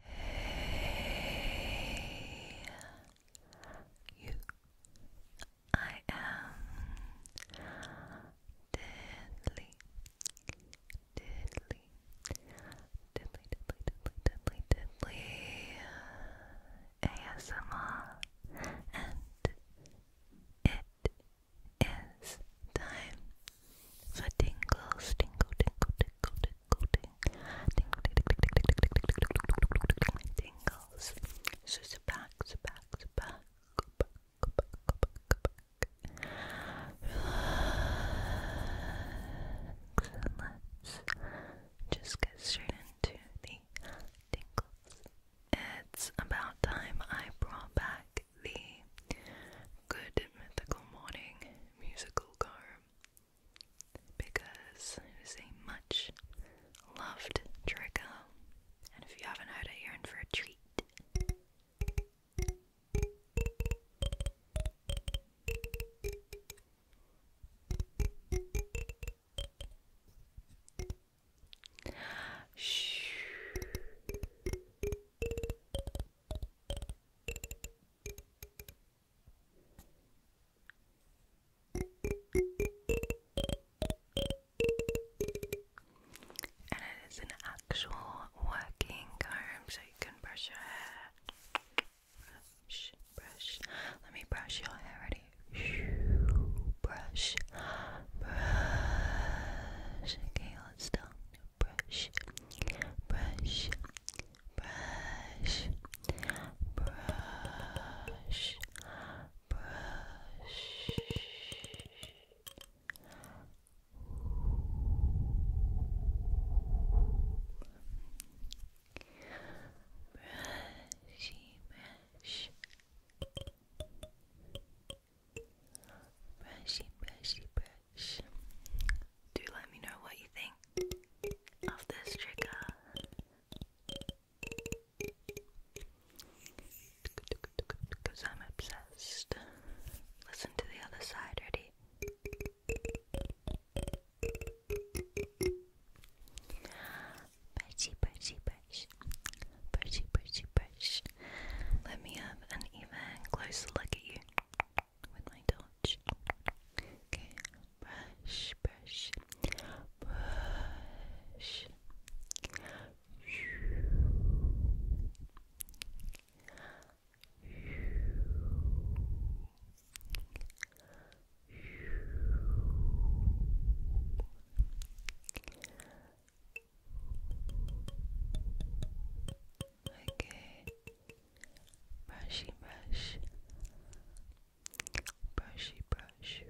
Hey, you. I am deadly, deadly, deadly, deadly, deadly, deadly, deadly ASMR, and it is time for tingles, tingle, tingle, tingle, tingle, tingle, tingle, So back, sit back, sit back, go back, go back, go back, let's just get straight into the tingles. It's about time I brought back the Good Mythical Morning musical car because it is a much loved trigger, um, and if you haven't heard it, you're in for a treat. Shh. And it is an actual working comb, so you can brush your hair. Brush, brush. Let me brush your hair. Ready? Brush, brush. Okay, let's stop brush, brush, brush, brush, brush. Brushy, brush. Brushy, brushy, brush do let me know what you think of this trigger. Because I'm obsessed. Listen to the other side, ready? Perchy, perchy, perch. Perchy, perchy, perch. Let me have an even closer look at you with my torch. Okay, brush, brush, brush. Brush, Okay. Brushy brush. Brushy brush.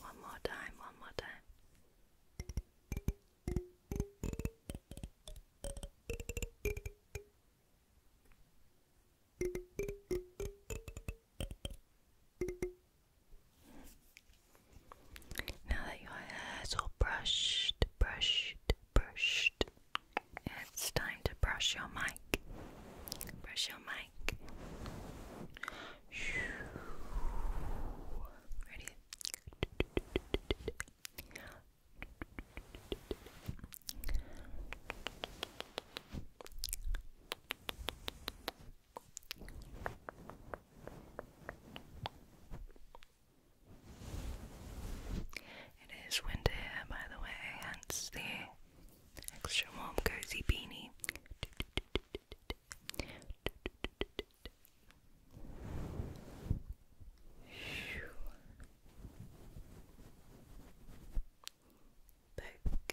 One more time, one more time. Now that your hair is all brushed, brushed, brushed, it's time to brush your mic. Brush your mic. Ready? It is winter here, by the way, hence the extra warm cozy beanie. Poke.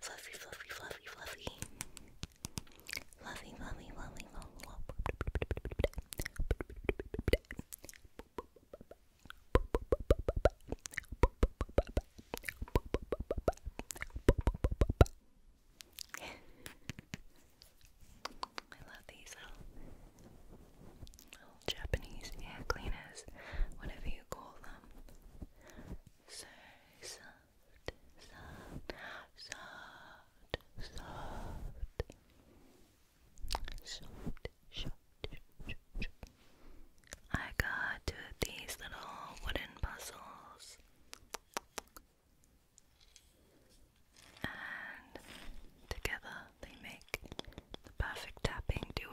Fluffy, fluffy, fluffy, fluffy. Fluffy, fluffy, fluffy, fluffy. I love these little, little Japanese air cleaners, whatever you call them. So soft, soft, soft, soft, soft, soft, I got two of these little wooden puzzles, and together they make the perfect tapping duo.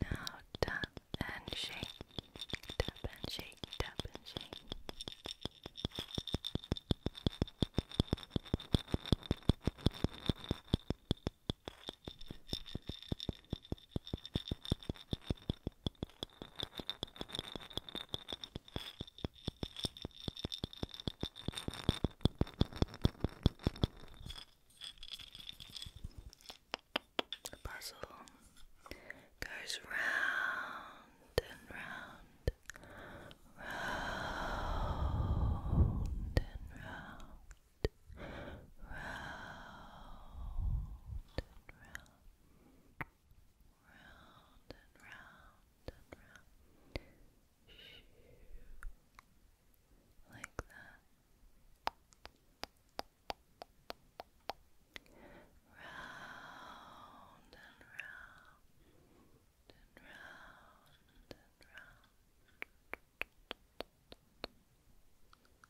Now tap and shake, tap and shake, tap and shake. Now the puzzle goes round and round, round and round, round and round round and round and round, like that. Round and round and round and round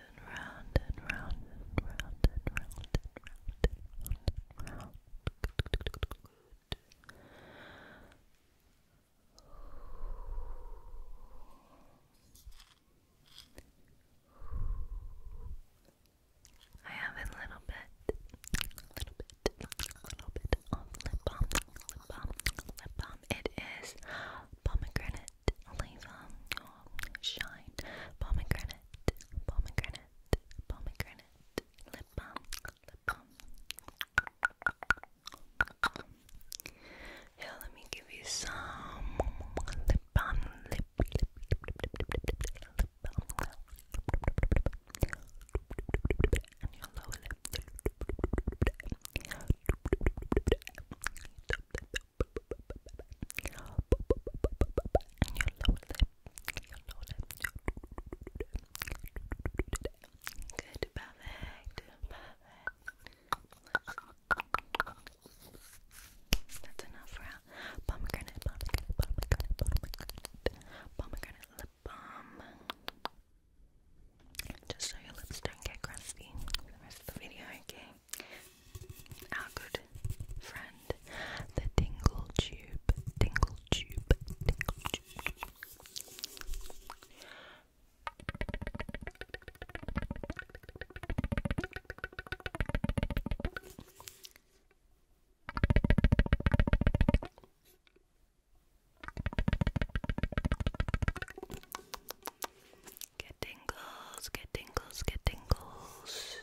and round and round and round and round and round and round and round. Good. I have a little bit, a little bit, a little bit of lip balm, lip balm, lip balm. It is pomegranate olive Shine, pomegranate, pomegranate, pomegranate, lip balm, lip balm. Here, let me give you some lip balm, lip, lip, lip, lip, lip, lip, lip, lip balm. And your lower lip. Top lip, and your Good, perfect, perfect. That's enough for our pomegranate, pomegranate, pomegranate, pomegranate, pomegranate lip balm. Just so your lips don't get crusty the rest of the video, okay? our good friend, the Dingle Tube, Dingle Tube, Dingle Tube. Get tingles, get tingles, get tingles.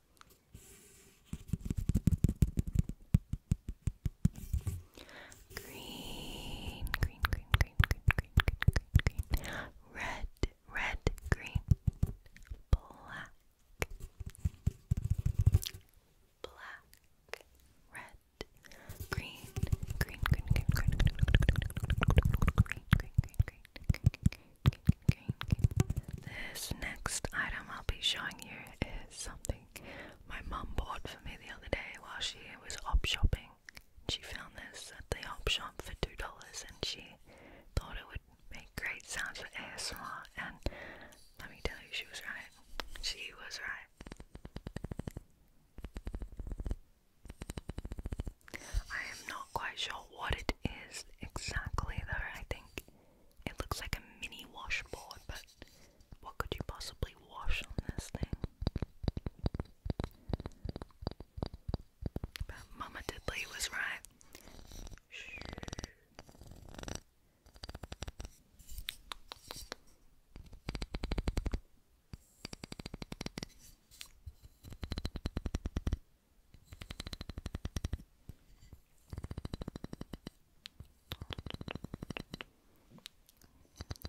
Green, green, green, green, green, green, green, green, green. Red, red, green, black, black, red, green, green, green, green, green, green, green, green, green, green, this next item I'll be showing you is something my mom bought for me the other day while she was op shopping. She found this at the op shop for $2 and she thought it would make great sounds for ASMR and let me tell you, she was right. She was right. I am not quite sure what it is exactly though. I think it looks like a mini washboard, but what could you possibly wash on this thing? But Mama Diddley was right.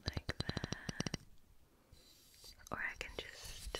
Like that. Or I can just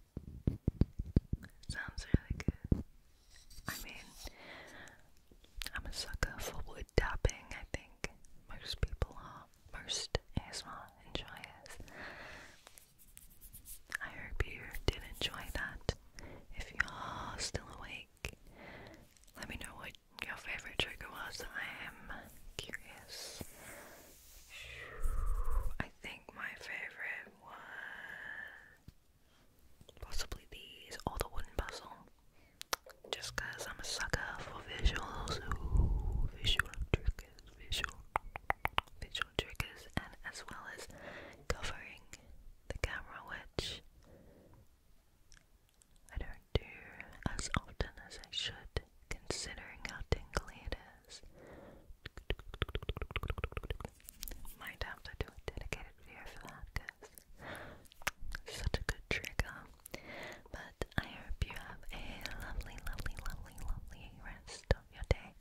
Sounds really good. I mean, I'm a sucker for wood tapping, I think. Most people are. Most ASMR enjoyers. I hope you did enjoy that. If you are still awake, let me know what your favourite trigger was. I am curious. I think my favourite possibly these or the wooden puzzle. Just I'm a sucker for visuals, ooh, visual triggers, visual, visual triggers, and as well as covering the camera, which I don't do as often as I should, considering how tingly it because might have do a dedicated video for that because such a good trigger. But I hope you have a lovely, lovely, lovely, lovely rest of your day.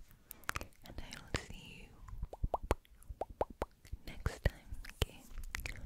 And I will see you next time, okay?